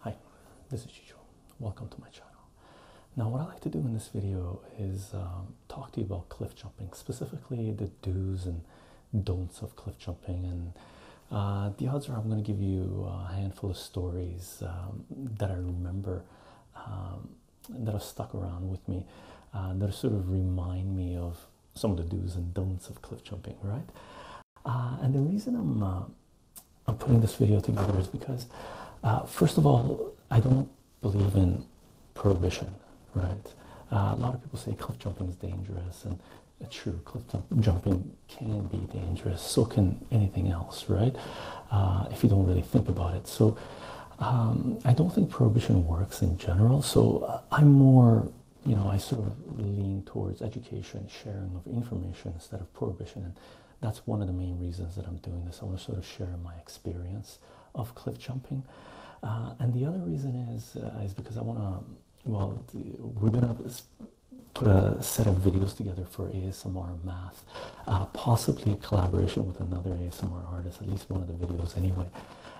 Hi, this is Chicho. Welcome to my channel. Now, what I like to do in this video is um, talk to you about cliff jumping, specifically the do's and don'ts of cliff jumping. And uh, the odds are I'm going to give you a handful of stories um, that I remember um, that are stuck around with me uh, that sort of remind me of some of the do's and don'ts of cliff jumping, right? Uh, and the reason I'm uh, I'm putting this video together is because, first of all, I don't believe in prohibition, right? a lot of people say cliff jumping is dangerous, and true, cliff jumping can be dangerous. So can anything else, right? if you don't really think about it. So um, I don't think prohibition works in general. So uh, I'm more, you know, I sort of lean towards education, sharing of information instead of prohibition. And that's one of the main reasons that I'm doing this. I want to sort of share my experience of cliff jumping. Uh, and the other reason is, uh, is because I want to, well, we're going to put a set of videos together for ASMR math with, uh, possibly collaboration with another ASMR artist, at least one of the videos anyway.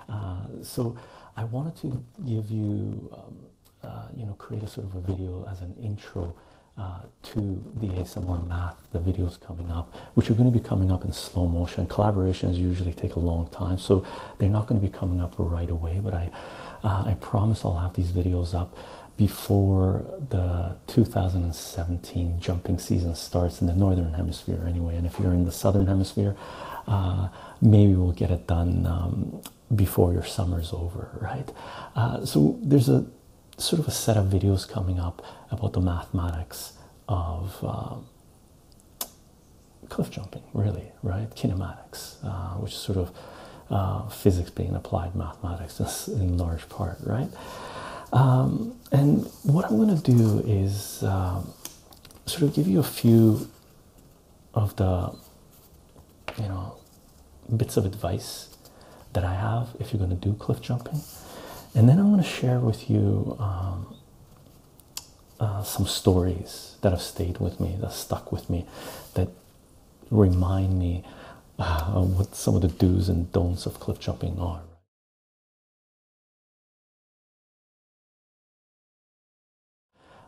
Uh, so I wanted to give you, um, uh, you know, create a sort of a video as an intro uh, to the ASMR math, the videos coming up, which are going to be coming up in slow motion. Collaborations usually take a long time, so they're not going to be coming up right away, but I, I promise I'll have these videos up before the 2017 jumping season starts in the northern hemisphere anyway and if you're in the southern hemisphere uh, maybe we'll get it done um, before your summer's over right uh, so there's a sort of a set of videos coming up about the mathematics of uh, cliff jumping really right kinematics which is sort of physics being applied mathematics license in large part, right? Um, and what I'm going to do is um, sort of give you a few of the, you know, bits of advice that I have if you're going to do cliff jumping, and then I'm going to share with you um, uh, some stories that have stayed with me, that stuck with me, that remind me Ah, um, what some of the do's and don'ts of cliff jumping are.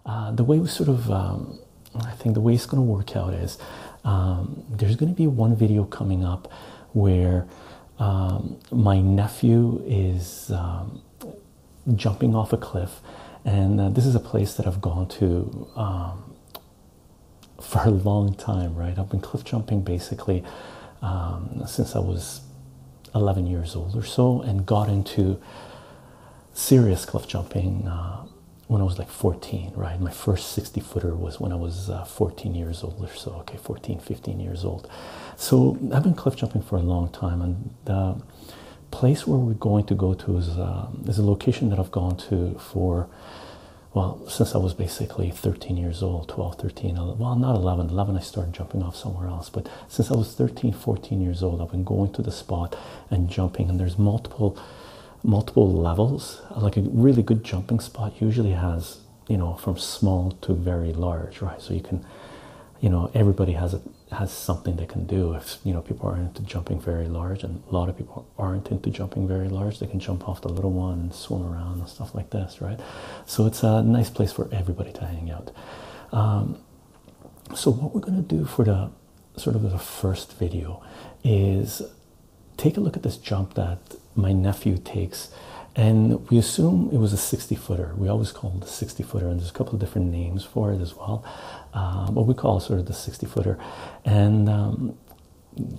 Uh, the way we sort of, um, I think the way it's going to work out is um, there's going to be one video coming up where my nephew is jumping off a cliff, and uh, this is a place that I've gone to for a long time, right? I've been cliff jumping basically um, since I was 11 years old or so, and got into serious cliff jumping uh, when I was like 14, right? My first 60 footer was when I was uh, 14 years old or so, okay, 14, 15 years old. So I've been cliff jumping for a long time, and the place where we're going to go to is uh, a location that I've gone to for well, since I was basically 13 years old, 12, 13, well, not 11, 11, I started jumping off somewhere else. But since I was 13, 14 years old, I've been going to the spot and jumping. And there's multiple, multiple levels. Like a really good jumping spot usually has, you know, from small to very large, right? So you can, you know, everybody has a has something they can do. If you know people are into jumping very large, and a lot of people aren't into jumping very large, they can jump off the little one swim around stuff like this, right? So it's a nice place for everybody to hang out. Um, so what we're gonna do for the sort of the first video is take a look at this jump that my nephew takes and we assume it was a 60 footer we always call the 60 footer and there's a couple of different names for it as well What uh, we call sort of the 60 footer and um,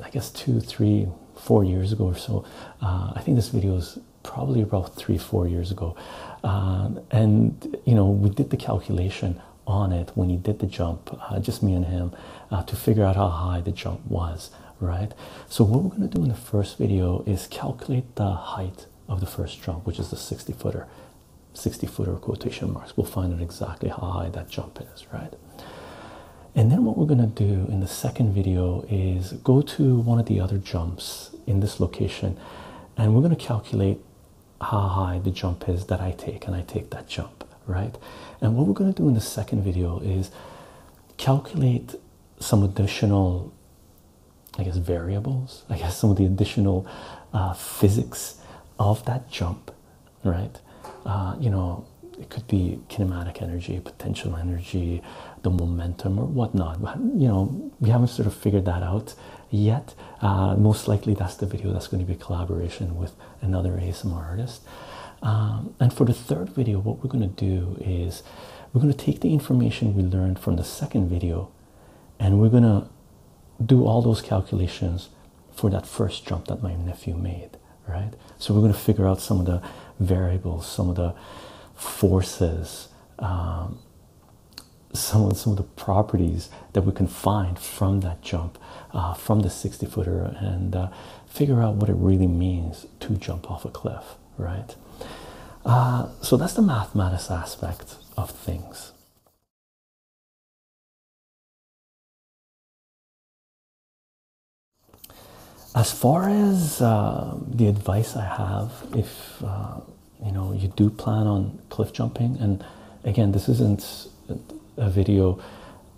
I guess two, three, four years ago or so. Uh, I think this video is probably about three, four years ago. Um, and you know, we did the calculation on it when he did the jump, uh, just me and him, uh, to figure out how high the jump was, right? So, what we're going to do in the first video is calculate the height of the first jump, which is the 60 footer. 60 footer quotation marks. We'll find out exactly how high that jump is, right? And then what we're going to do in the second video is go to one of the other jumps in this location and we're going to calculate how high the jump is that I take and I take that jump, right? And what we're going to do in the second video is calculate some additional, I guess, variables, I guess some of the additional uh, physics of that jump right? Uh, you know, it could be kinematic energy, potential energy, the momentum, or whatnot. But you know, we haven't sort of figured that out yet. Uh, most likely, that's the video that's going to be a collaboration with another ASMR artist. Um, and for the third video, what we're going to do is we're going to take the information we learned from the second video and we're going to do all those calculations for that first jump that my nephew made, right? So we're going to figure out some of the variables, some of the forces, um, some of some of the properties that we can find from that jump, uh, from the 60 footer, and uh, figure out what it really means to jump off a cliff, right? Uh, so that's the mathematics aspect of things. As far as uh, the advice I have, if uh, you know you do plan on cliff jumping, and again, this isn't a video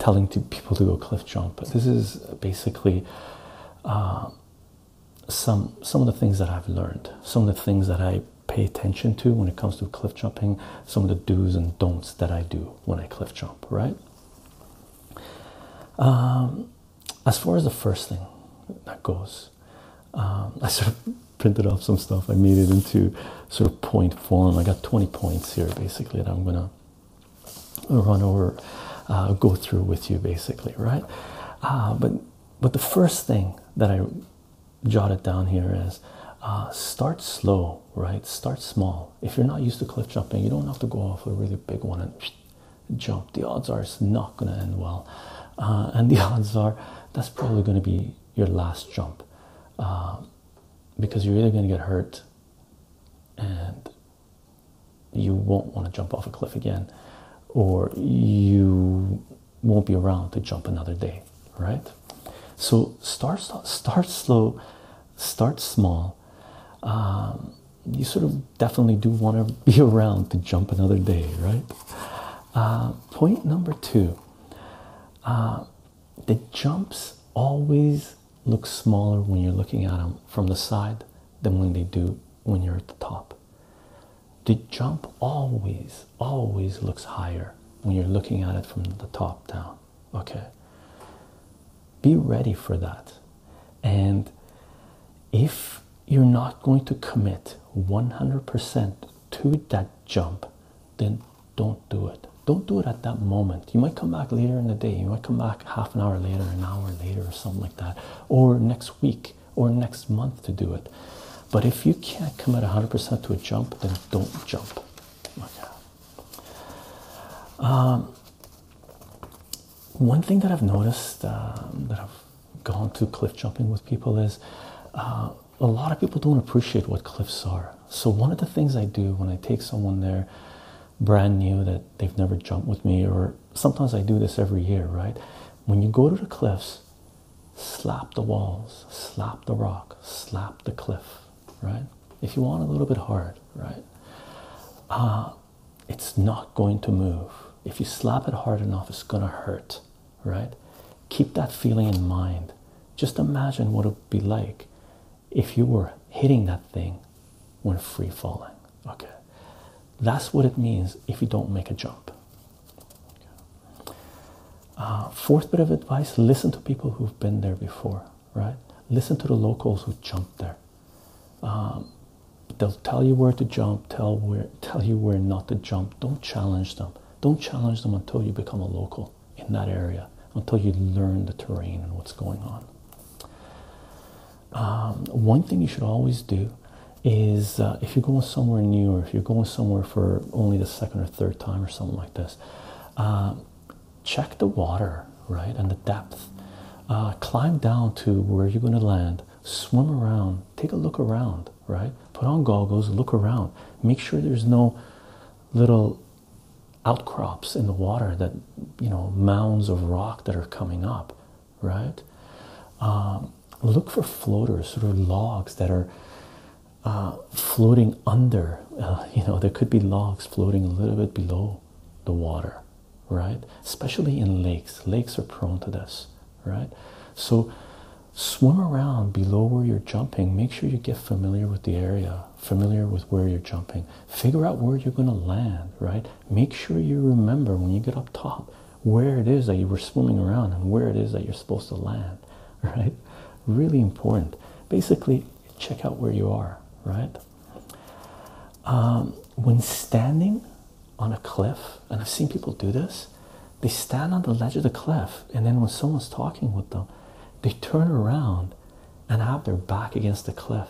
telling to people to go cliff jump, this is basically uh, some some of the things that I've learned, some of the things that I pay attention to when it comes to cliff jumping, some of the do's and don'ts that I do when I cliff jump, right? Um, as far as the first thing that goes, um, I sort of printed off some stuff. I made it into sort of point form. I got 20 points here basically that I'm gonna run over, uh, go through with you basically, right? Uh, but but the first thing that I jotted down here is uh, start slow, right? Start small. If you're not used to cliff jumping, you don't have to go off a really big one and jump. The odds are it's not going to end well, uh, and the odds are that's probably going to be your last jump uh, because you're either going to get hurt and you won't want to jump off a cliff again, or you won't be around to jump another day, right? So start start slow, start small. Um, you sort of definitely do want to be around to jump another day, right? Uh, point number two uh, the jumps always look smaller when you're looking at them from the side than when they do when you're at the top. The jump always, always looks higher when you're looking at it from the top down okay be ready for that and if you're not going to commit 100% to that jump then don't do it don't do it at that moment you might come back later in the day you might come back half an hour later an hour later or something like that or next week or next month to do it but if you can't commit 100% to a jump then don't jump okay um, one thing that I've noticed um, that I've gone to cliff jumping with people is uh, a lot of people don't appreciate what cliffs are. So, one of the things I do when I take someone there brand new that they've never jumped with me, or sometimes I do this every year, right? When you go to the cliffs, slap the walls, slap the rock, slap the cliff, right? If you want a little bit hard, right? Uh, it's not going to move. If you slap it hard enough, it's gonna hurt, right? Keep that feeling in mind. Just imagine what it would be like if you were hitting that thing when free falling. Okay, that's what it means if you don't make a jump. Uh, fourth bit of advice listen to people who've been there before right? Listen to the locals who jump there. Um, they'll tell you where to jump, tell where tell you where not to jump. Don't challenge them. Don't challenge them until you become a local in that area, until you learn the terrain and what's going on. Um, one thing you should always do is uh, if you're going somewhere new or if you're going somewhere for only the second or third time or something like this, uh, check the water, right, and the depth. Uh, climb down to where you're going to land, swim around, take a look around, right? Put on goggles, look around, make sure there's no little outcrops in the water that you know mounds of rock that are coming up, right? Um, look for floaters, sort of logs that are uh, floating under. Uh, you know, there could be logs floating a little bit below the water, right? Especially in lakes. Lakes are prone to this, right? So swim around below where you're jumping. Make sure you get familiar with the area, familiar with where you're jumping. Figure out where you're going to land, right? Make sure you remember when you get up top where it is that you were swimming around and where it is that you're supposed to land, right? Really important. Basically, check out where you are, right? Um, when standing on a cliff, and I've seen people do this, they stand on the ledge of the cliff, and then when someone's talking with them, they turn around and have their back against the cliff.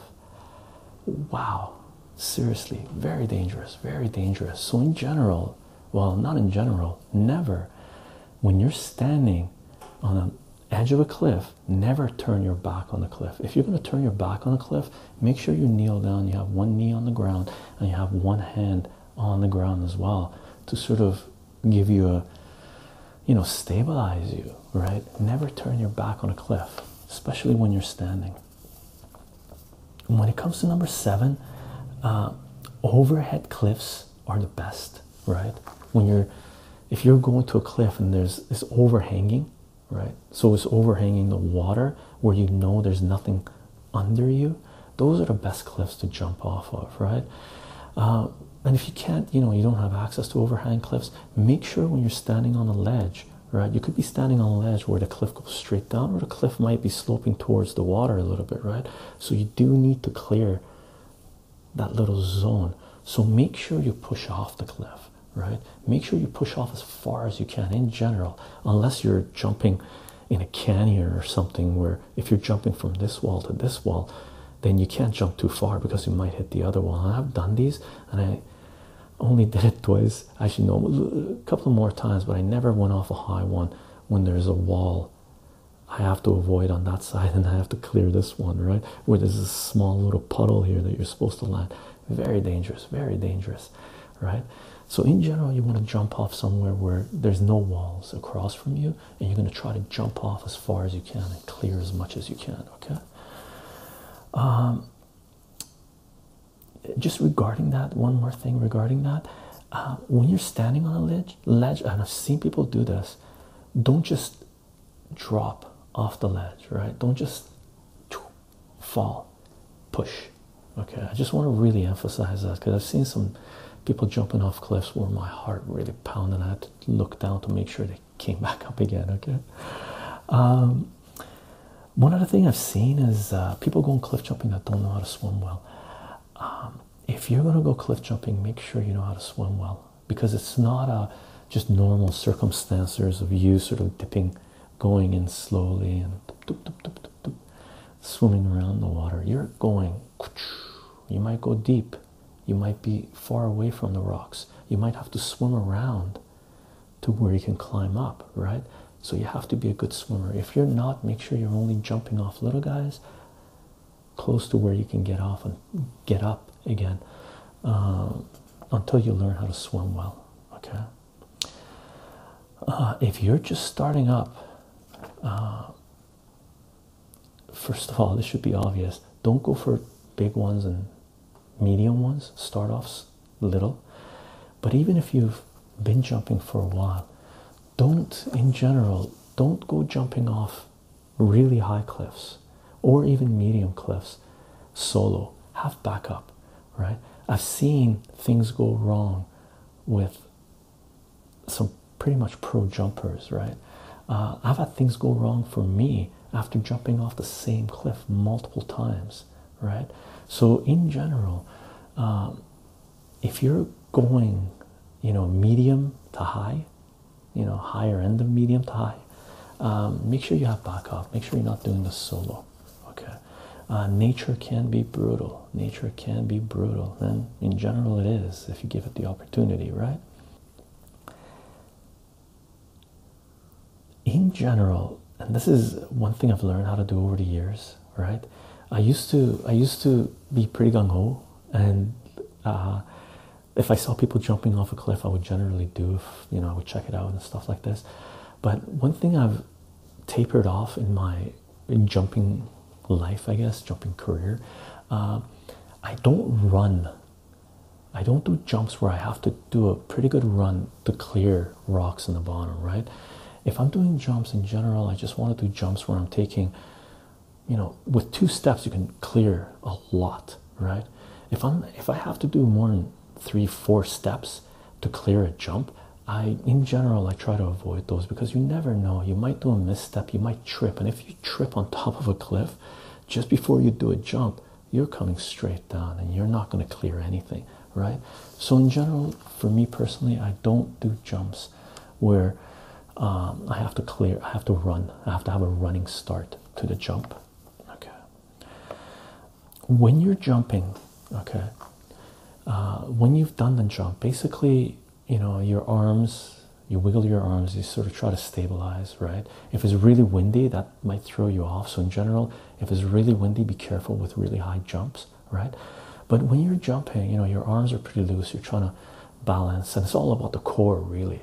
Wow, seriously, very dangerous, very dangerous. So, in general, well, not in general, never when you're standing on a edge of a cliff never turn your back on the cliff if you're going to turn your back on a cliff make sure you kneel down you have one knee on the ground and you have one hand on the ground as well to sort of give you a you know stabilize you right never turn your back on a cliff especially when you're standing when it comes to number seven uh, overhead cliffs are the best right when you're if you're going to a cliff and there's it's overhanging right so it's overhanging the water where you know there's nothing under you those are the best cliffs to jump off of right uh, and if you can't you know you don't have access to overhang cliffs make sure when you're standing on a ledge right you could be standing on a ledge where the cliff goes straight down or the cliff might be sloping towards the water a little bit right so you do need to clear that little zone. So make sure you push off the cliff, right? Make sure you push off as far as you can in general, unless you're jumping in a canyon or something where if you're jumping from this wall to this wall, then you can't jump too far because you might hit the other wall. I've done these and I only did it twice. Actually, no, a couple more times, but I never went off a high one when there's a wall I have to avoid on that side and I have to clear this one, right? where there's a small little puddle here that you're supposed to land. Very dangerous, very dangerous, right? So, in general, you want to jump off somewhere where there's no walls across from you, and you're going to try to jump off as far as you can and clear as much as you can, okay? Um, just regarding that, one more thing regarding that. Uh, when you're standing on a ledge, ledge, and I've seen people do this, don't just drop off the ledge, right? Don't just fall, push. Okay, I just want to really emphasize that because I've seen some people jumping off cliffs where my heart really pounded. I had to look down to make sure they came back up again. Okay. Um, one other thing I've seen is uh, people going cliff jumping that don't know how to swim well. Um, if you're going to go cliff jumping, make sure you know how to swim well because it's not a just normal circumstances of you sort of dipping, going in slowly and swimming around the water. You're going. You might go deep. You might be far away from the rocks. You might have to swim around to where you can climb up, right? So you have to be a good swimmer. If you're not, make sure you're only jumping off little guys close to where you can get off and get up again uh, until you learn how to swim well. Okay. Uh, if you're just starting up, uh, first of all, this should be obvious. Don't go for big ones and medium ones. Start off little. But even if you've been jumping for a while, don't in general, don't go jumping off really high cliffs or even medium cliffs solo have backup right i've seen things go wrong with some pretty much pro jumpers right uh, i've had things go wrong for me after jumping off the same cliff multiple times right so in general um, if you're going you know medium to high you know higher end of medium to high um, make sure you have back off make sure you're not doing the solo okay uh, nature can be brutal nature can be brutal and in general it is if you give it the opportunity right in general and this is one thing i've learned how to do over the years right i used to i used to be pretty gung-ho and uh, if I saw people jumping off a cliff, I would generally do you know I would check it out and stuff like this. But one thing I've tapered off in my jumping life, I guess, jumping career, uh, I don't run. I don't do jumps where I have to do a pretty good run to clear rocks in the bottom, right? If I'm doing jumps in general, I just want to do jumps where I'm taking, you know, with two steps you can clear a lot right? If I'm if I have to do more than three, four steps to clear a jump, I in general I try to avoid those because you never know. You might do a misstep, you might trip, and if you trip on top of a cliff just before you do a jump, you're coming straight down and you're not going to clear anything, right? So in general, for me personally, I don't do jumps where um, I have to clear, I have to run, I have to have a running start to the jump, okay when you're jumping okay uh, when you've done the jump basically you know your arms you wiggle your arms you sort of try to stabilize right if it's really windy that might throw you off so in general if it's really windy be careful with really high jumps right but when you're jumping you know your arms are pretty loose you're trying to balance and it's all about the core really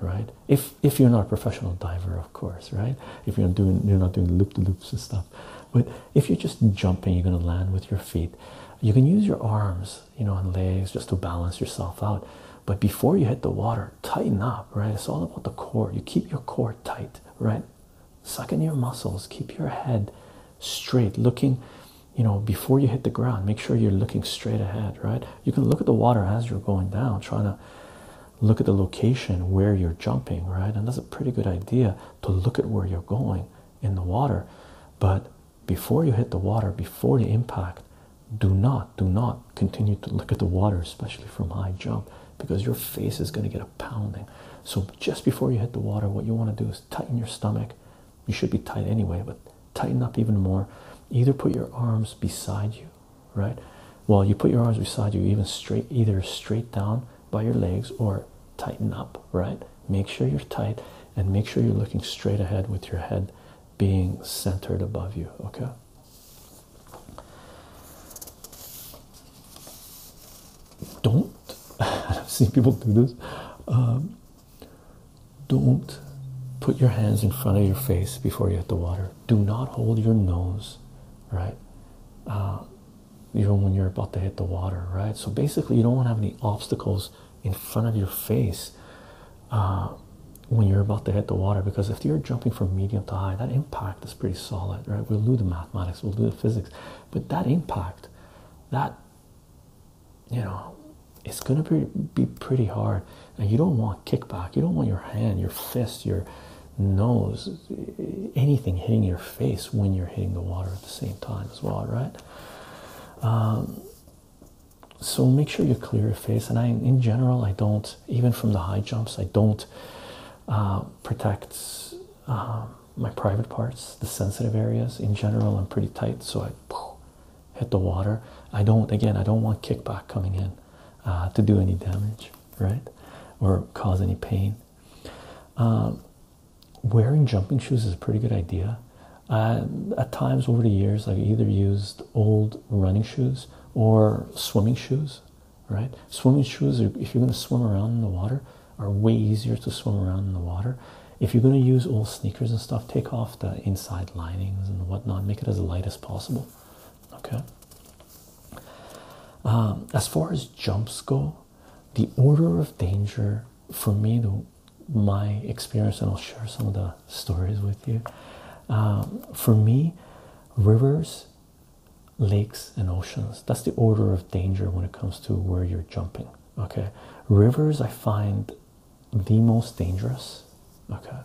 right? If if you're not a professional diver, of course, right? If you're doing you're not doing loop the loops and stuff, but if you're just jumping, you're going to land with your feet. You can use your arms, you know, and legs just to balance yourself out. But before you hit the water, tighten up, right? It's all about the core. You keep your core tight, right? Sucking your muscles. Keep your head straight, looking. You know, before you hit the ground, make sure you're looking straight ahead, right? you can look at the water as you're going down, trying to look at the location where you're jumping, right? And that's a pretty good idea to look at where you're going in the water. But before you hit the water, before the impact, do not, do not continue to look at the water, especially from high jump, because your face is going to get a pounding. So just before you hit the water, what you want to do is tighten your stomach. You should be tight anyway, but tighten up even more. Either put your arms beside you right? Well, you put your arms beside you, even straight, either straight down by your legs or tighten up, right? Make sure you're tight and make sure you're looking straight ahead with your head being centered above you, okay? Don't, I've seen people do this. Um, don't put your hands in front of your face before you hit the water do not hold your nose right uh, even when you're about to hit the water right so basically you don't want to have any obstacles in front of your face uh, when you're about to hit the water because if you're jumping from medium to high that impact is pretty solid right we'll do the mathematics we'll do the physics but that impact that you know it's gonna be, be pretty hard you don't want kickback you don't want your hand your fist your nose anything hitting your face when you're hitting the water at the same time as well right um, so make sure you clear your face and i in general i don't even from the high jumps i don't uh, protect um, my private parts the sensitive areas in general i'm pretty tight so i hit the water i don't again i don't want kickback coming in uh, to do any damage, right? Or cause any pain. Um, wearing jumping shoes is a pretty good idea. Uh, at times over the years, I've either used old running shoes or swimming shoes, right? Swimming shoes, if you're going to swim around in the water, are way easier to swim around in the water. If you're going to use old sneakers and stuff, take off the inside linings and whatnot, make it as light as possible, okay um, as far as jumps go the order of danger for me my experience and i'll share some of the stories with you um, for me rivers lakes and oceans that's the order of danger when it comes to where you're jumping okay rivers i find the most dangerous okay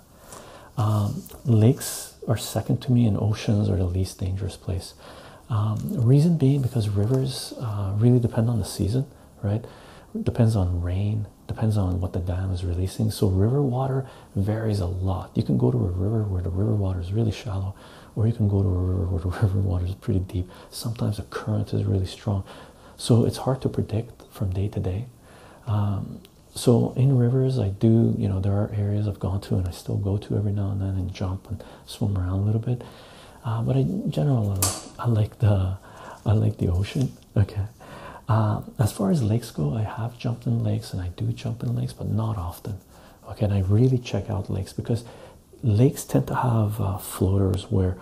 um, lakes are second to me, and oceans are the least dangerous place. Um, reason being because rivers uh, really depend on the season, right? Depends on rain, depends on what the dam is releasing. So, river water varies a lot. You can go to a river where the river water is really shallow, or you can go to a river where the river water is pretty deep. Sometimes the current is really strong. So, it's hard to predict from day to day. Um, so in rivers i do you know there are areas i've gone to and i still go to every now and then and jump and swim around a little bit uh, but in general I like, the i like the ocean okay uh, as far as lakes go i have jumped in lakes and i do jump in lakes but not often okay and i really check out lakes because lakes tend to have uh, floaters where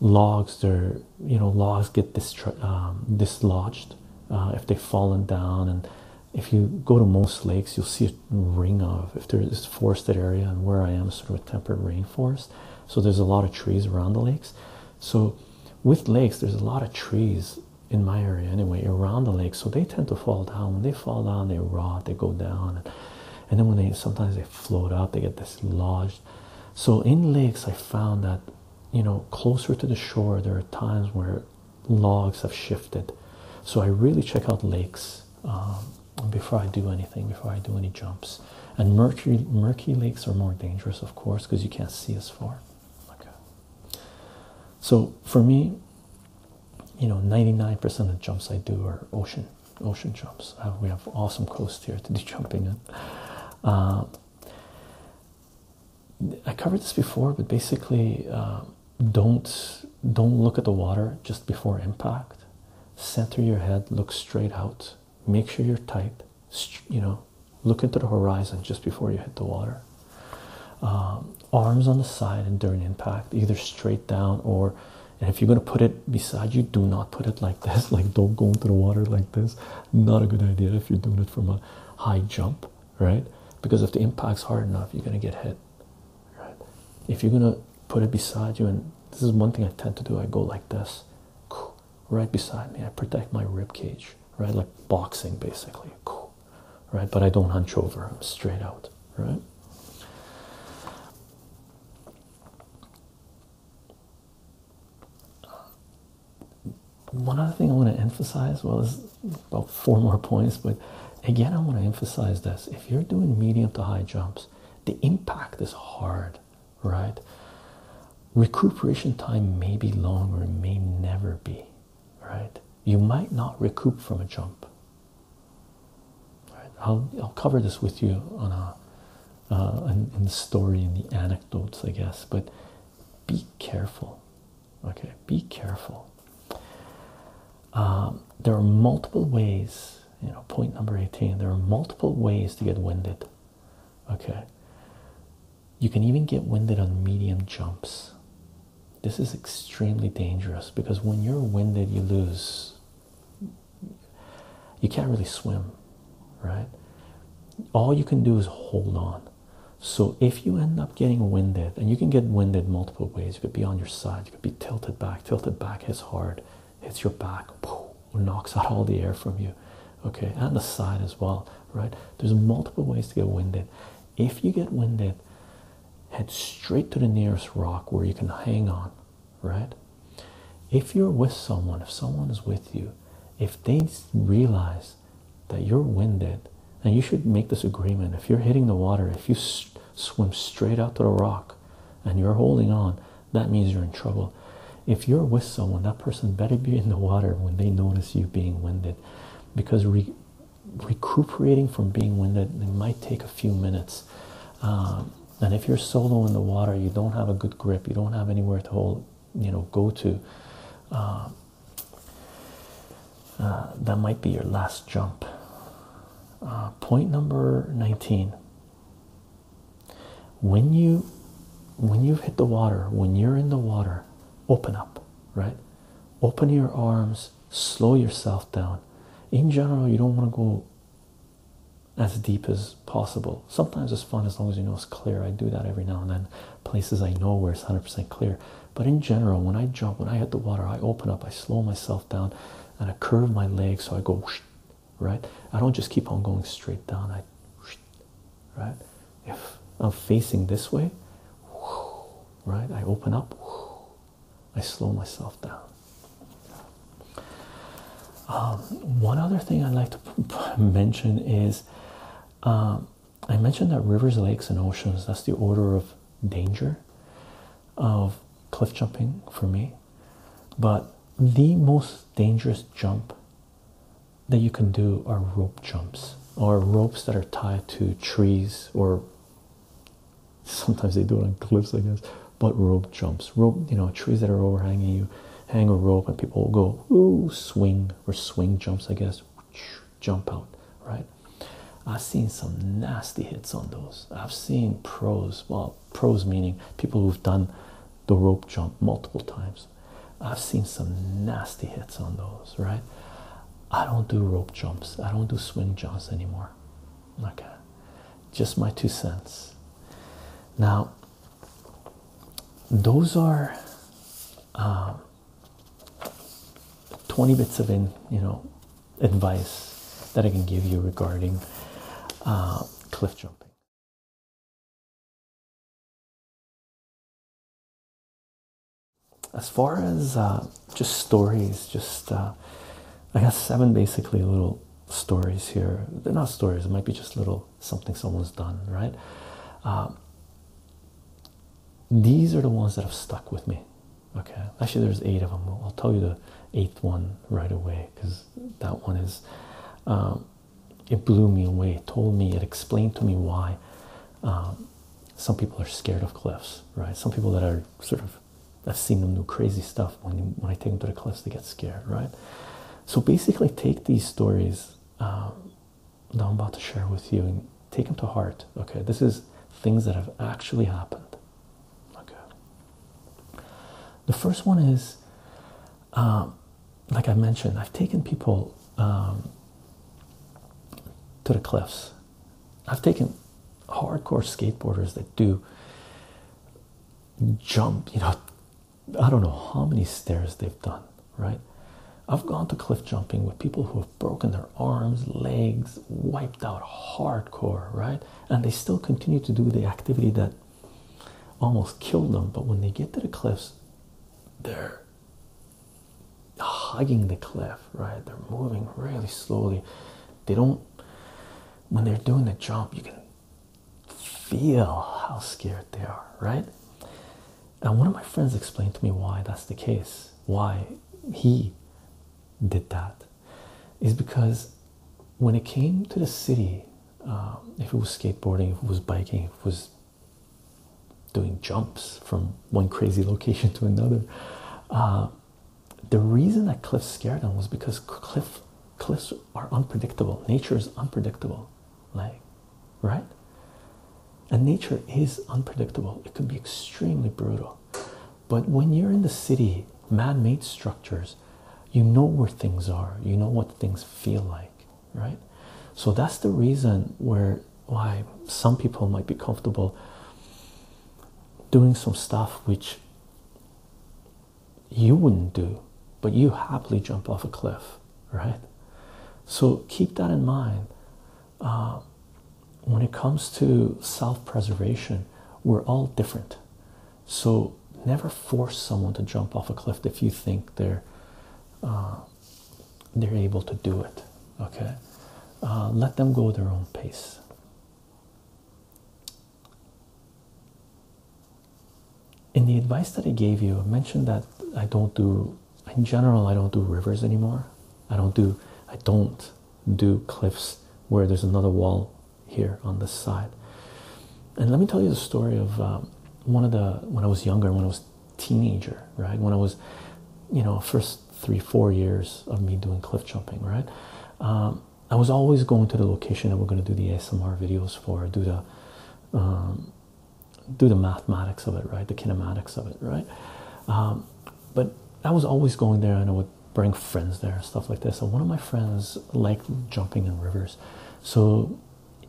logs they're you know logs get um, dislodged uh, if they've fallen down and if you go to most lakes you'll see a ring of if there is forested area and where i am is sort of a temperate rainforest so there's a lot of trees around the lakes so with lakes there's a lot of trees in my area anyway around the lake so they tend to fall down when they fall down they rot they go down and then when they sometimes they float up they get dislodged so in lakes i found that you know, closer to the shore, there are times where logs have shifted. So I really check out lakes um, before I do anything, before I do any jumps. And murky, murky lakes are more dangerous, of course, because you can't see as far. Okay. So for me, you know, 99% of jumps I do are ocean, ocean jumps. Uh, we have awesome coast here to do jumping in. Uh, I covered this before, but basically, um, don't don't look at the water just before impact. Center your head, look straight out. Make sure you're tight. You know, look into the horizon just before you hit the water. Um, arms on the side and during impact, either straight down or. And if you're gonna put it beside you, do not put it like this. Like, don't go into the water like this. Not a good idea if you're doing it from a high jump right? Because if the impact's hard enough, you're gonna get hit. Right? If you're gonna put it beside you, and this is one thing I tend to do, I go like this, right beside me. I protect my rib cage, right? Like boxing, basically, right? But I don't hunch over. I'm straight out, right? one other thing I want to emphasize well, it's about four more points, but again, I want to emphasize this if you're doing medium to high jumps, the impact is hard, right? Recuperation time may be long or it may never be, right? You might not recoup from a jump. I'll, cover this with you on a uh, in, the story and the anecdotes, I guess, but be careful. Okay, be careful. Um, there are multiple ways, you know, point number 18, there are multiple ways to get winded. Okay, you can even get winded on medium jumps. This is extremely dangerous because when you're winded, you lose, you can't really swim, right? All you can do is hold on. So if you end up getting winded, and you can get winded multiple ways, you could be on your side, you could be tilted back, tilted back hits hard, hits your back, knocks out all the air from you, okay, and the side as well, right? There's multiple ways to get winded. If you get winded, head straight to the nearest rock where you can hang on, right? If you're with someone, if someone is with you, if they realize that you're winded and you should make this agreement if you're hitting the water if you swim straight out to the rock and you're holding on that means you're in trouble if you're with someone that person better be in the water when they notice you being winded because recuperating from being winded it might take a few minutes um, and if you're solo in the water you don't have a good grip you don't have anywhere to hold you know go to um, uh, that might be your last jump. Uh, point number 19. When you when you hit the water, when you're in the water, open up, right? Open your arms, slow yourself down. In general, you don't want to go as deep as possible. Sometimes it's fun as long as you know it's clear. I do that every now and then places I know where it's 100% clear. But in general, when I jump, when I hit the water, I open up, I slow myself down, and I curve my legs so I go right. I don't just keep on going straight down. I right. If I'm facing this way, right, I open up, I slow myself down. Um, one other thing I'd like to mention is um, I mentioned that rivers, lakes, and oceans that's the order of danger of cliff jumping for me. But the most dangerous jump that you can do are rope jumps or ropes that are tied to trees or sometimes they do it on cliffs, I guess. But rope jumps, rope, you know, trees that are overhanging you, hang a rope, and people will go, ooh, swing or swing jumps, I guess jump out, right? I've seen some nasty hits on those. I've seen pros, well, pros meaning people who've done the rope jump multiple times. I've seen some nasty hits on those, right? I don't do rope jumps, I don't do swing jumps anymore. Okay, just my two cents. Now, those are um, 20 bits of you know advice that I can give you regarding uh, cliff jumping. As far as uh, just stories, just uh, I got seven basically little stories here. They're not stories; it might be just little something someone's done, right? These are the ones that have stuck with me. Okay, actually, there's eight of them. I'll tell you the eighth one right away because that one is um, it blew me away. It told me it explained to me why um, some people are scared of cliffs, right? Some people that are sort of I've seen them do crazy stuff when when I take them to the cliffs, they get scared, right? So basically, take these stories. Um, now I'm about to share with you and take them to heart. Okay, this is things that have actually happened. Okay, the first one is um, like I mentioned, I've taken people um, to the cliffs, I've taken hardcore skateboarders that do jump, you know, I don't know how many stairs they've done right? I've gone to cliff jumping with people who have broken their arms, legs, wiped out hardcore, right? And they still continue to do the activity that almost killed them. But when they get to the cliffs, they're hugging the cliff, right? They're moving really slowly. They don't, when they're doing the jump, you can feel how scared they are, right? And one of my friends explained to me why that's the case, why he did that, is because when it came to the city, um, if it was skateboarding, if it was biking, if it was doing jumps from one crazy location to another, uh, the reason that cliffs scared them was because cliff cliffs are unpredictable. Nature is unpredictable like right and nature is unpredictable it can be extremely brutal but when you're in the city man-made structures you know where things are you know what things feel like right so that's the reason where why some people might be comfortable doing some stuff which you wouldn't do but you happily jump off a cliff right? So keep that in mind. Uh, when it comes to self preservation, we're all different. So never force someone to jump off a cliff if you think they're uh, they're able to do it. Okay, uh, let them go their own pace. In the advice that I gave you, I mentioned that I don't do in general i don't do rivers anymore i don't do i don't do cliffs where there's another wall here on this side and let me tell you the story of um, one of the when i was younger when i was teenager right when i was you know first three four years of me doing cliff jumping right um, i was always going to the location that we're going to do the asmr videos for do the um, do the mathematics of it, right? The kinematics of it, right? Um, but I was always going there, and I would bring friends there, stuff like this. And one of my friends liked jumping in rivers, so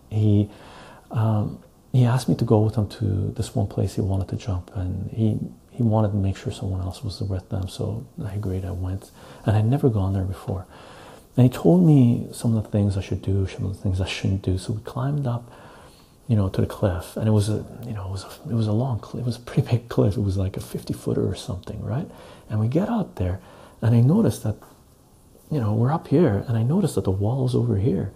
he um, he asked me to go with him to this one place he wanted to jump, and he he wanted to make sure someone else was with them. So I agreed. I went, and I'd never gone there before. And he told me some of the things I should do, some of the things I shouldn't do. So we climbed up you know, to the cliff, and it was a, you know, it was a, it was a long It was a pretty big cliff. It was like a 50 footer or something, right? And we get out there, and I notice that, you know, we're up here, and I notice that the wall's over here.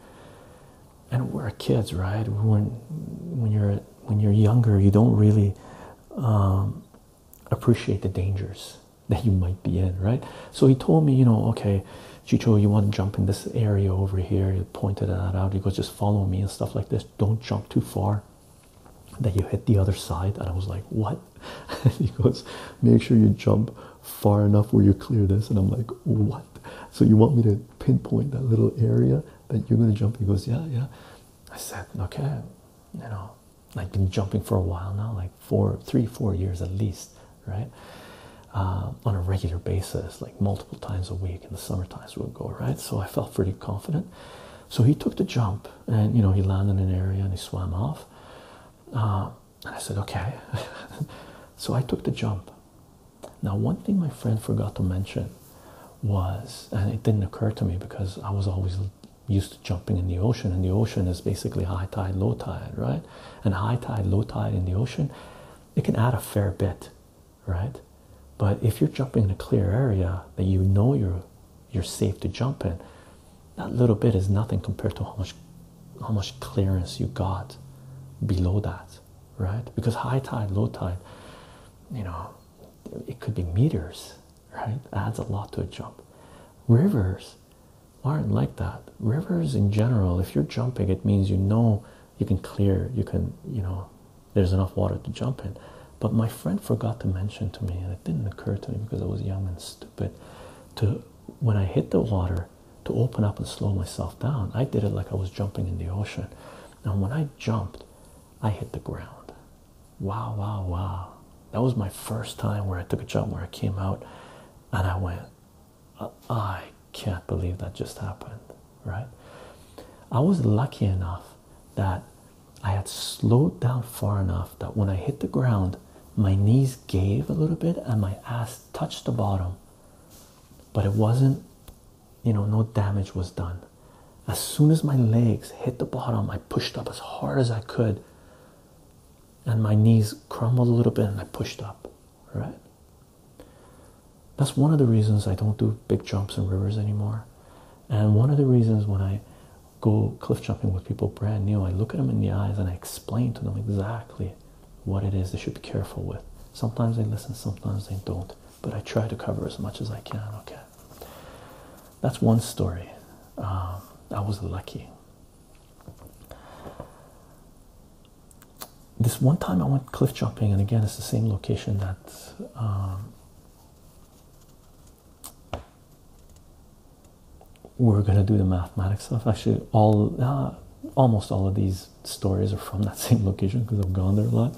And we're kids, right? When when you're when you're younger, you don't really um, appreciate the dangers that you might be in, right? So he told me, you know, okay, Chicho, you want to jump in this area over here? He pointed that out. He goes, just follow me and stuff like this. Don't jump too far that you hit the other side. And I was like, what? he goes, make sure you jump far enough where you clear this. And I'm like, what? So you want me to pinpoint that little area that you're going to jump? He goes, yeah, yeah. I said, okay, you know, I've been jumping for a while now, like four, three, four years at least right? Uh, on a regular basis, like multiple times a week in the summer we'll go, right? So I felt pretty confident. So he took the jump and you know he landed in an area and he swam off. Uh, and I said, okay. so I took the jump. Now, one thing my friend forgot to mention was, and it didn't occur to me because I was always used to jumping in the ocean, and the ocean is basically high tide, low tide, right? And high tide, low tide in the ocean it can add a fair bit, right? But if you're jumping in a clear area that you know you're you're safe to jump in, that little bit is nothing compared to how much how much clearance you got below that, right? Because high tide, low tide, you know, it could be meters, right? Adds a lot to a jump. Rivers aren't like that. Rivers in general, if you're jumping, it means you know you can clear you can you know there's enough water to jump in but my friend forgot to mention to me and it didn't occur to me because i was young and stupid to when i hit the water to open up and slow myself down i did it like i was jumping in the ocean and when i jumped i hit the ground wow wow wow that was my first time where i took a jump where i came out and i went I can't believe that just happened, right? I was lucky enough that I had slowed down far enough that when I hit the ground, my knees gave a little bit and my ass touched the bottom, but it wasn't, you know, no damage was done. As soon as my legs hit the bottom, I pushed up as hard as I could, and my knees crumbled a little bit and I pushed up, right? That's one of the reasons I don't do big jumps in rivers anymore. And one of the reasons when I go cliff jumping with people brand new, I look at them in the eyes and I explain to them exactly what it is they should be careful with. Sometimes they listen, sometimes they don't, but I try to cover as much as I can. Okay, that's one story. Um, I was lucky this one time I went cliff jumping, and again, it's the same location that um, we're gonna do the mathematics stuff. Actually, all uh, almost all of these stories are from that same location because I've gone there a lot.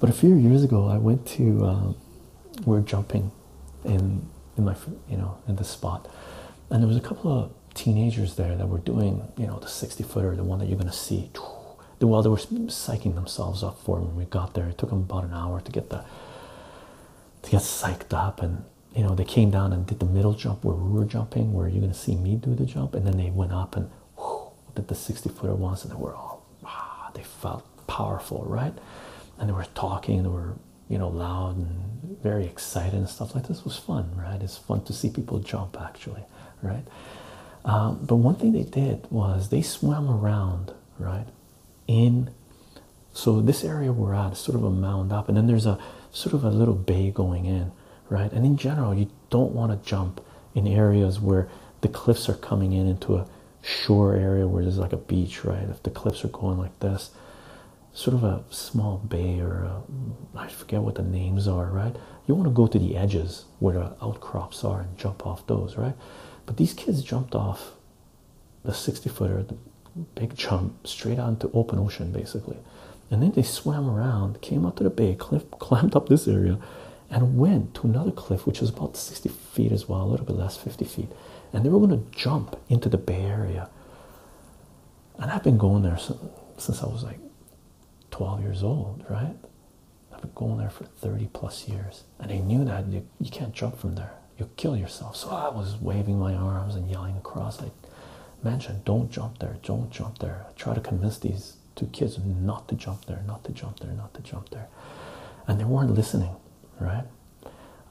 But a few years ago, I went to um, we're jumping in in my you know in the spot, and there was a couple of teenagers there that were doing, you know, the 60 footer, the one that you're going to see. The well, they were psyching themselves up for when we got there. It took them about an hour to get the to get psyched up, and you know, they came down and did the middle jump where we were jumping, where you're going to see me do the jump, and then they went up and did the 60 footer once, and they were all ah, they felt powerful, right? And they were talking, they were you know loud and very excited and stuff like this. was fun, right? It fun to see people jump actually, right? Um, but one thing they did was they swam around, right? In so this area we're at is sort of a mound up, and then there's a sort of a little bay going in, right? And in general, you don't want to jump in areas where the cliffs are coming in into a shore area where there's like a beach, right? If the cliffs are going like this, sort of a small bay or I forget what the names are, right? you want to go to the edges where the outcrops are and jump off those, right? But these kids jumped off the 60 footer, the big jump, straight out into open ocean basically. And then they swam around, came up to the bay, climbed up this area, and went to another cliff, which was about 60 feet as well, a little bit less, 50 feet. And they were going to jump into the bay area. And I've been going there since I was like 12 years old, right? I've been going there for 30 plus years, and I knew that you, can't jump from there, you'll kill yourself. So I was waving my arms and yelling across. like, "Man, Don't jump there, don't jump there. I tried to convince these two kids not to jump there, not to jump there, not to jump there. And they weren't listening, right?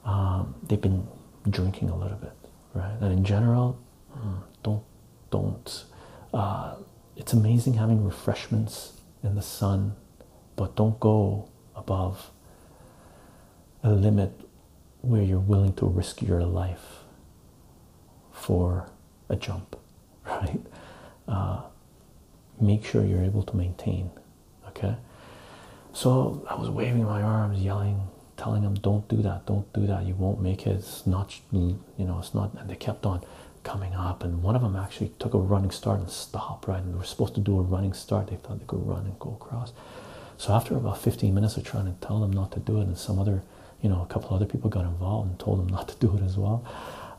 Um, they've been drinking a little bit, right? And in general, mm, don't don't. Uh, it's amazing having refreshments in the sun, but don't go above a limit where you're willing to risk your life for a jump, right? Uh, make sure you're able to maintain. Okay. So I was waving my arms, yelling, telling them don't do that don't do that you won't make it it's not you know it's not and they kept on coming up and one of them actually took a running start and stopped right and they were supposed to do a running start they thought they could run and go across so after about 15 minutes of trying to tell them not to do it and some other you know a couple other people got involved and told them not to do it as well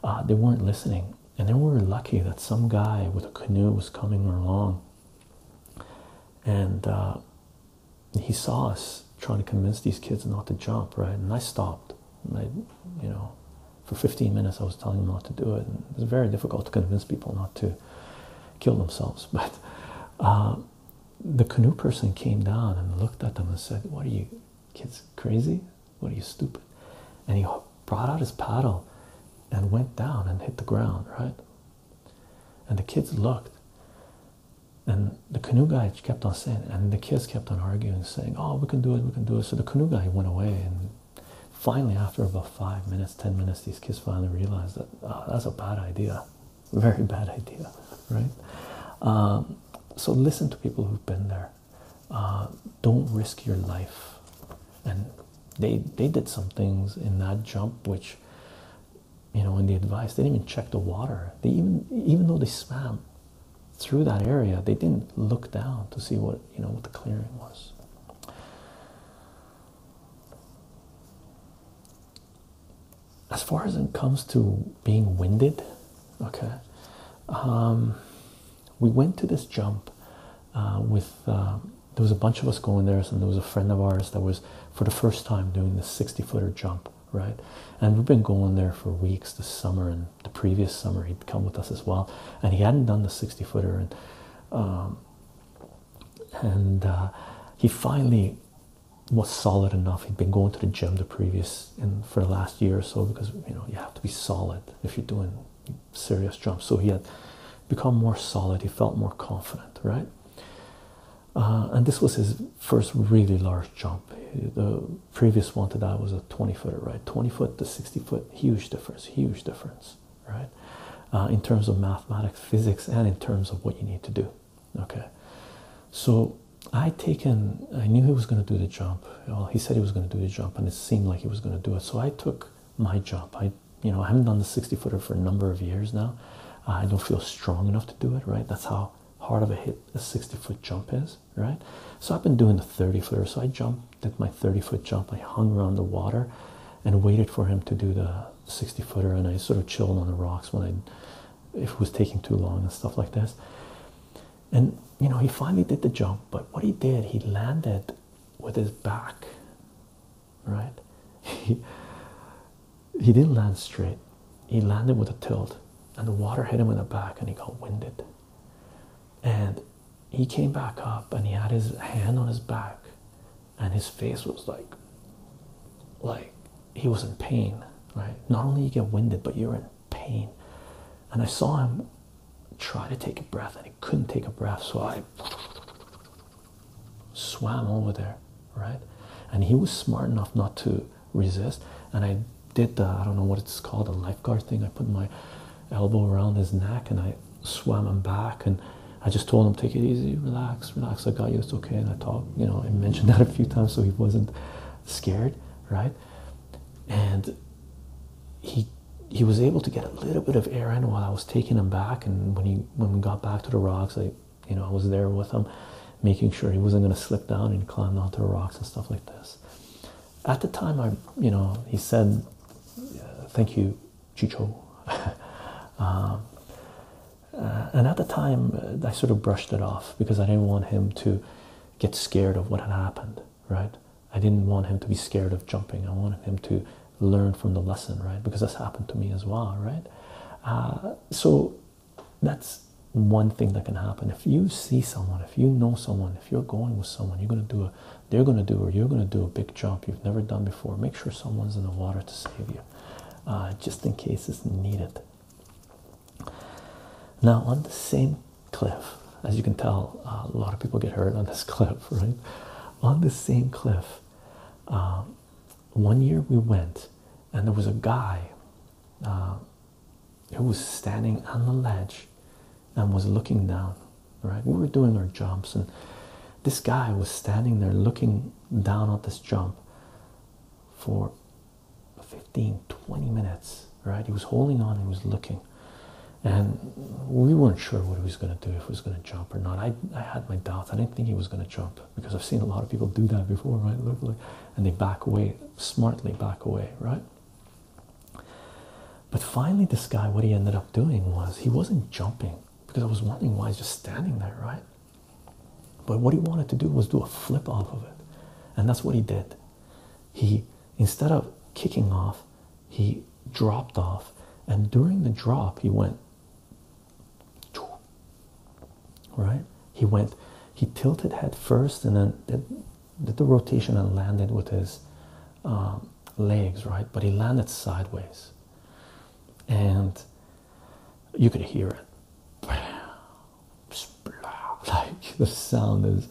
uh, they weren't listening and then we were lucky that some guy with a canoe was coming along and uh, he saw us trying to convince these kids not to jump, right? And I stopped. And I, you know, for 15 minutes I was telling them not to do it. And it was very difficult to convince people not to kill themselves. But uh, the canoe person came down and looked at them and said, "What are you kids crazy? What are you stupid?" And he brought out his paddle and went down and hit the ground, right? And the kids looked and the canoe guy kept on saying and the kids kept on arguing saying oh we can do it we can do it so the canoe guy went away and finally after about five minutes ten minutes these kids finally realized that oh, that's a bad idea very bad idea right um, so listen to people who've been there uh, don't risk your life and they they did some things in that jump which you know, in the advice. They didn't even check the water. They even even though they swam through that area, they didn't look down to see what you know what the clearing was. As far as it comes to being winded, okay, um, we went to this jump uh, with uh, there was a bunch of us going there, and there was a friend of ours that was for the first time doing this 60 footer jump right? And we've been going there for weeks this summer and the previous summer. He'd come with us as well, and he hadn't done the 60 footer. And um, and uh, he finally was solid enough. He'd been going to the gym the previous and for the last year or so because you know you have to be solid if you're doing serious jumps. So he had become more solid. He felt more confident, right? Uh, and this was his first really large jump. The previous one to that was a 20 footer, right? 20 foot to 60 foot, huge difference, huge difference, right? Uh, in terms of mathematics, physics, and in terms of what you need to do, okay? So I taken, I knew he was going to do the jump. he said he was going to do the jump, and it seemed like he was going to do it. So I took my jump. I, you know, I haven't done the 60 footer for a number of years now. I don't feel strong enough to do it, right? That's how hard of a hit a 60 foot jump is, right? So I've been doing the 30 footer. So I jumped, did my 30 foot jump. I hung around the water and waited for him to do the 60 footer. And I sort of chilled on the rocks when I, if it was taking too long and stuff like this. And you know, he finally did the jump, but what he did, he landed with his back, right? he didn't land straight. He landed with a tilt, and the water hit him in the back, and he got winded. And he came back up, and he had his hand on his back, and his face was like, like he was in pain. Right? Not only you get winded, but you're in pain. And I saw him try to take a breath, and he couldn't take a breath. So I swam over there right? And he was smart enough not to resist. And I did the I don't know what it's called a lifeguard thing. I put my elbow around his neck and I swam him back and I just told him take it easy, relax, relax. I got you. It's okay. And I talked, you know, I mentioned that a few times so he wasn't scared, right? And he he was able to get a little bit of air in while I was taking him back. And when he when we got back to the rocks, I you know, I was there with him, making sure he wasn't going to slip down and climb onto rocks and stuff like this. At the time, I, you know, he said, "Thank you, Chicho," um, uh, and at the time, uh, I sort of brushed it off because I didn't want him to get scared of what had happened. Right? I didn't want him to be scared of jumping. I wanted him to learn from the lesson, right? Because that's happened to me as well, right? Uh, so that's one thing that can happen. If you see someone, if you know someone, if you're going with someone, you're gonna do a they're gonna do or you're gonna do a big jump you've never done before. Make sure someone's in the water to save you. Uh, just in case it's needed. Now on the same cliff, as you can tell, uh, a lot of people get hurt on this cliff, right? On the same cliff, um, one year we went and there was a guy uh, who was standing on the ledge and was looking down right we were doing our jumps and this guy was standing there looking down at this jump for 15 20 minutes right he was holding on he was looking and we weren't sure what he was going to do if he was going to jump or not I, I had my doubts i didn't think he was going to jump because I've seen a lot of people do that before, right? and they back away smartly, back away, right? But finally, this guy, what he ended up doing was he wasn't jumping because I was wondering why he's just standing there, right? But what he wanted to do was do a flip off of it, and that's what he did. He instead of kicking off, he dropped off, and during the drop, he went right he went he tilted head first and then did, the rotation and landed with his um, legs right but he landed sideways and you could hear it like the sound is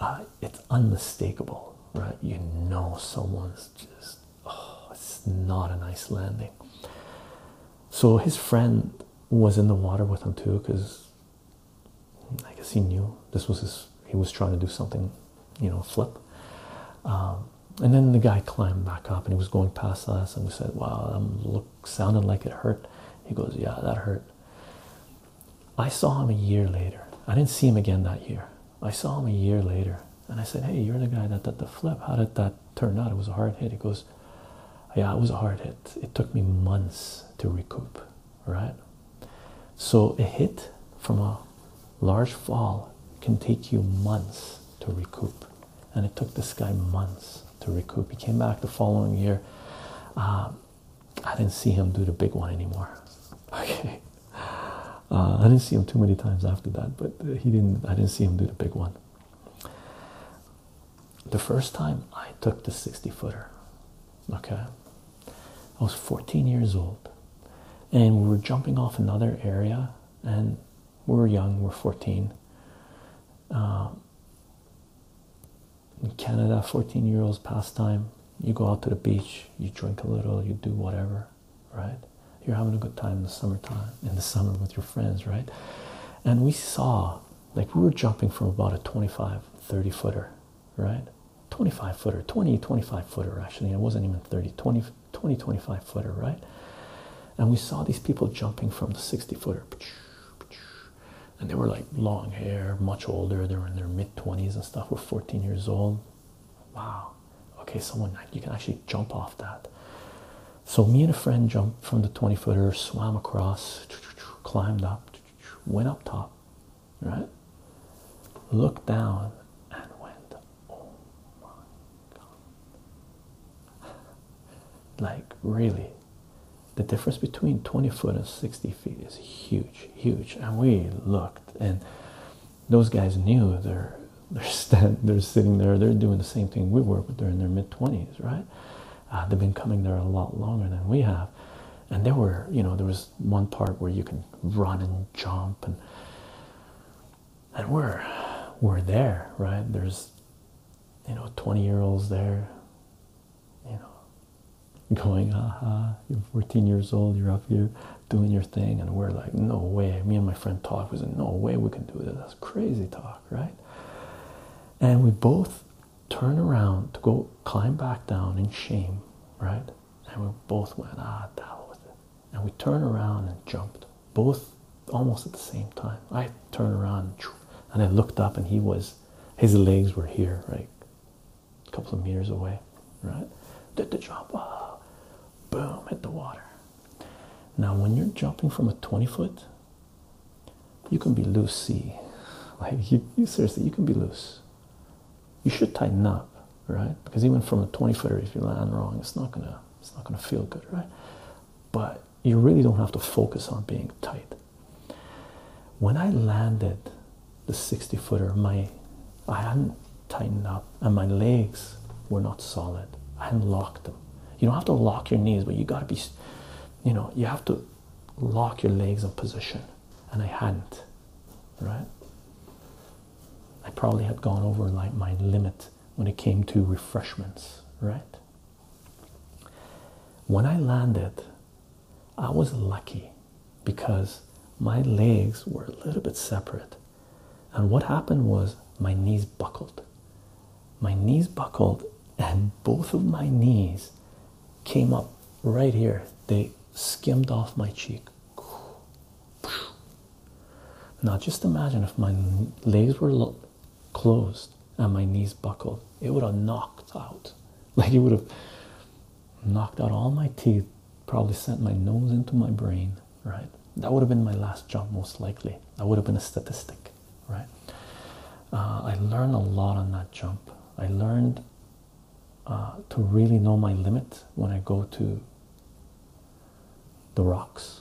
uh, it's unmistakable right you know someone's just oh, it's not a nice landing so his friend was in the water with him too because I guess he knew this was his, he was trying to do something, you know, flip. Um, and then the guy climbed back up and he was going past us, and we said, Wow, that look, sounding like it hurt. He goes, Yeah, that hurt. I saw him a year later. I didn't see him again that year. I saw him a year later, and I said, Hey, you're the guy that did the flip. How did that turned out it was a hard hit. He goes, Yeah, it was a hard hit. It took me months to recoup, right? So a hit from a large fall can take you months to recoup. And it took this guy months to recoup. He came back the following year. Um, I didn't see him do the big one anymore. Okay. Uh, I didn't see him too many times after that, but he didn't. I didn't see him do the big one the first time I took the 60 footer. Okay, I was 14 years old, and we were jumping off another area, and we were young, we are 14. Um, in Canada, 14 year olds pastime. You go out to the beach, you drink a little, you do whatever, right? You're having a good time in the summertime, in the summer with your friends, right? And we saw like we were jumping from about a 25, 30 footer, right? 25 footer, 20, 25 footer actually. It wasn't even 30, 20, 20, 25 footer, right? And we saw these people jumping from the 60 footer. And they were like long hair, much older. They were in their mid 20s and stuff. We're 14 years old. Wow. Okay, someone, you can actually jump off that. So me and a friend jumped from the 20 footer, swam across, climbed up, went up top, right? Looked down and went, oh my god. Like really, the difference between 20 foot and 60 feet is huge, huge. And we looked and those guys knew they're they're stand they're sitting there, they're doing the same thing we were, but they're in their mid-20s, right? Uh, they've been coming there a lot longer than we have, and there were, you know, there was one part where you can run and jump, and and we're we're there, right? There's, you know, twenty-year-olds there, you know, going, aha, you're fourteen years old, you're up here doing your thing, and we're like, no way. Me and my friend talk was like, no way we can do this. That's crazy talk, right? and we both turn around to go climb back down in shame, right? And we both went, ah, the with it. And we turned around and jumped, both almost at the same time. I turned around and I looked up, and he was, his legs were here, right? A couple of meters away, right? Did the jump, ah, boom, hit the water. Now, when you're jumping from a 20 foot you can be loosey. Like you, seriously, you can be loose. You should tighten up, right? Because even from a 20 footer, if you land wrong, it's not gonna it's not gonna feel good, right? But you really don't have to focus on being tight. When I landed the 60 footer, my I hadn't tightened up and my legs were not solid. I hadn't locked them. You don't have to lock your knees, but you gotta be you know, you have to lock your legs in position. And I hadn't, right? I probably had gone over like my limit when it came to refreshments, right? When I landed, I was lucky because my legs were a little bit separate. And what happened was my knees buckled my knees buckled and both of my knees came up right here they skimmed off my cheek now just imagine if my legs were closed and my knees buckled it would have knocked out like it would have knocked out all my teeth probably sent my nose into my brain right that would have been my last jump most likely that would have been a statistic right? Uh, I learned a lot on that jump. I learned uh, to really know my limit when I go to the rocks,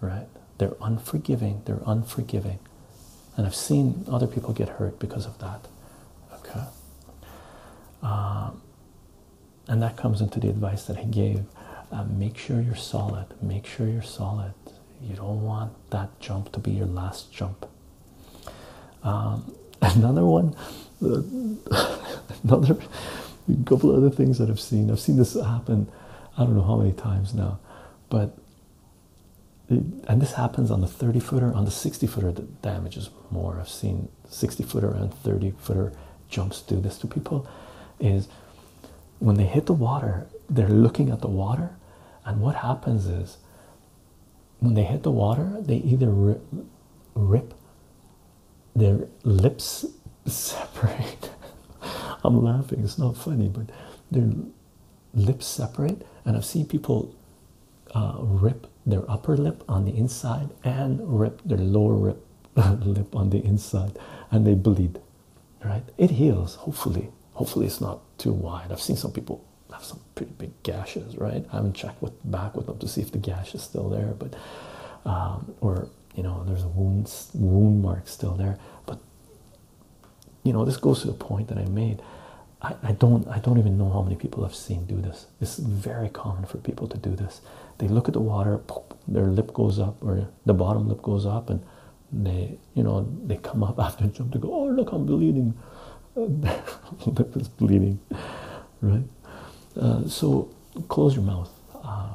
right? They're unforgiving, they're unforgiving. And I've seen other people get hurt because of that, okay? Um, and that comes into the advice that I gave. Uh, make sure you're solid. Make sure you're solid. You don't want that jump to be your last jump. Um, another one, another a couple other things that I've seen. I've seen this happen. I don't know how many times now, but and this happens on the 30 footer, on the 60 footer. The damage is more. I've seen 60 footer and 30 footer jumps do this to people. Is when they hit the water, they're looking at the water, and what happens is when they hit the water, they either rip, their lips separate. I'm laughing, it's not funny, but their lips separate, and I've seen people uh, rip their upper lip on the inside and rip their lower lip on the inside, and they bleed right? It heals, hopefully. Hopefully, it's not too wide. I've seen some people have some pretty big gashes, right? I haven't checked back with them to see if the gash is still there, but um, or you know, there's a wound wound mark still there. But you know, this goes to the point that I made. I, I don't I don't even know how many people I've seen do this. It's very common for people to do this. They look at the water, their lip goes up, or the bottom lip goes up and they you know they come up after a jump They go oh look i'm bleeding lip is bleeding right uh, so close your mouth uh,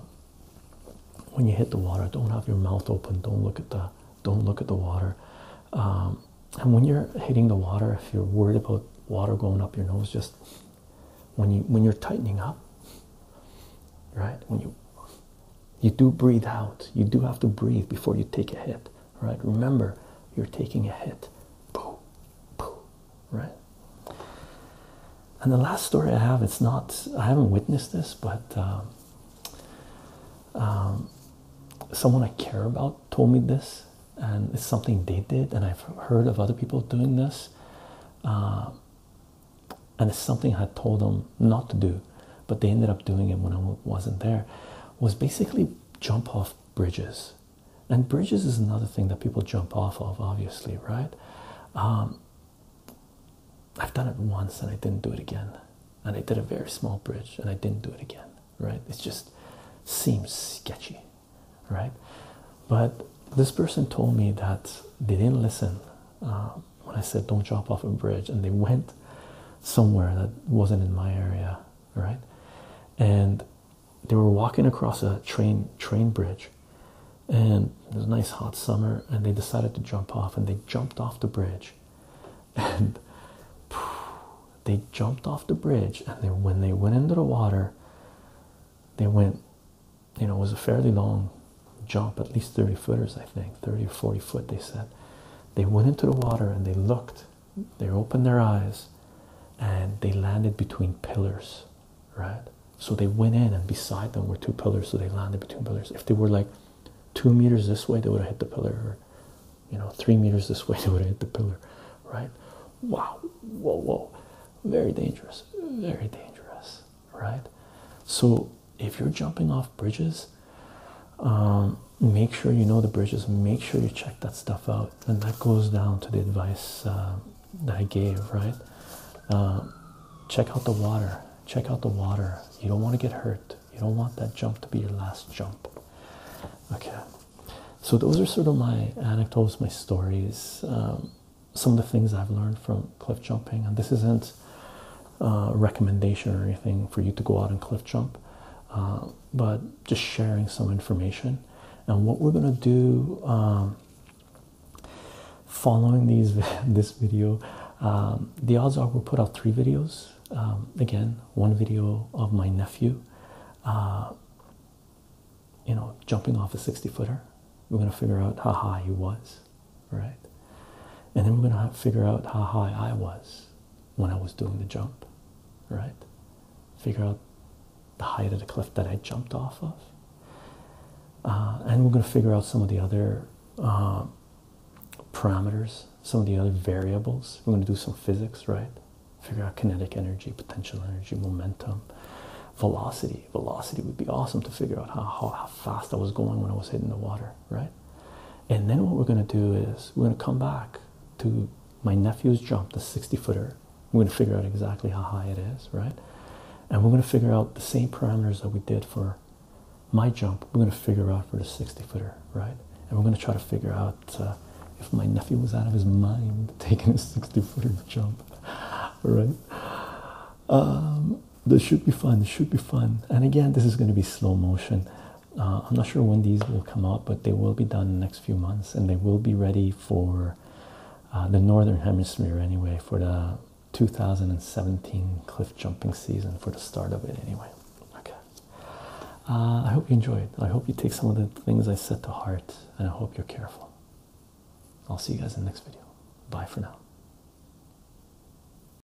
when you hit the water don't have your mouth open don't look at the don't look at the water um, and when you're hitting the water if you're worried about water going up your nose just when you when you're tightening up right when you you do breathe out. You do have to breathe before you take a hit, right? Remember, you're taking a hit. Boom, boom, right? And the last story I have, it's not, I haven't witnessed this, but um, um, someone I care about told me this, and it's something they did, and I've heard of other people doing this. Uh, and something I had told them not to do, but they ended up doing it when I wasn't there, was basically jump off bridges. And bridges is another thing that people jump off of, obviously, right? Um, I've done it once and I didn't do it again. And I did a very small bridge and I didn't do it again, right? It just seems sketchy, right? But this person told me that they didn't listen. Uh, when I said don't drop off a bridge, and they went somewhere that wasn't in my area, right? And they were walking across a train train bridge, and it was a nice hot summer, and they decided to jump off, and they jumped off the bridge, and they jumped off the bridge, and when they went into the water, they went, you know, it was a fairly long jump, at least 30 footers, I think, 30 or 40 foot, they said. They went into the water and they looked, they opened their eyes, and they landed between pillars, right? So they went in, and beside them were two pillars, so they landed between pillars. If they were like two meters this way, they would have hit the pillar, or you know, three meters this way, they would have hit the pillar, right? Wow, whoa, whoa, very dangerous, very dangerous, right? So if you're jumping off bridges, um, make sure you know the bridges, make sure you check that stuff out. And that goes down to the advice uh, that I gave, right? Uh, check out the water, check out the water. You don't want to get hurt, you don't want that jump to be your last jump. Okay, so those are sort of my anecdotes, my stories. Um, some of the things I've learned from cliff jumping, and this isn't uh, recommendation or anything for you to go out and cliff jump, uh, but just sharing some information. And what we're gonna do um, following these this video, um, the odds are we'll put out three videos. Um, again, one video of my nephew, uh, you know, jumping off a 60 footer. We're gonna figure out how high he was right? And then we're gonna figure out how high I was when I was doing the jump, right? Figure out the height of the cliff that I jumped off of, uh, and we're gonna figure out some of the other uh, parameters, some of the other variables. We're gonna do some physics, right? Figure out kinetic energy, potential energy, momentum, velocity. Velocity would be awesome to figure out how fast I was going when I was hitting the water, right? And then what we're going to do is we're going to come back to my nephew's jump, the 60 footer. We're going to figure out exactly how high it is, right? And we're going to figure out the same parameters that we did for my jump. We're going to figure out for the 60 footer, right? And we're going to try to figure out uh, if my nephew was out of his mind taking a 60 footer jump, right? Um, this should be fun. This should be fun. And again, this is going to be slow motion. Uh, I'm not sure when these will come out, but they will be done in the next few months, and they will be ready for uh, the northern hemisphere anyway for the 2017 cliff jumping season for the start of it anyway. Okay. Uh, I hope you enjoy it. I hope you take some of the things I said to heart, and I hope you're careful. I'll see you guys in the next video. Bye for now.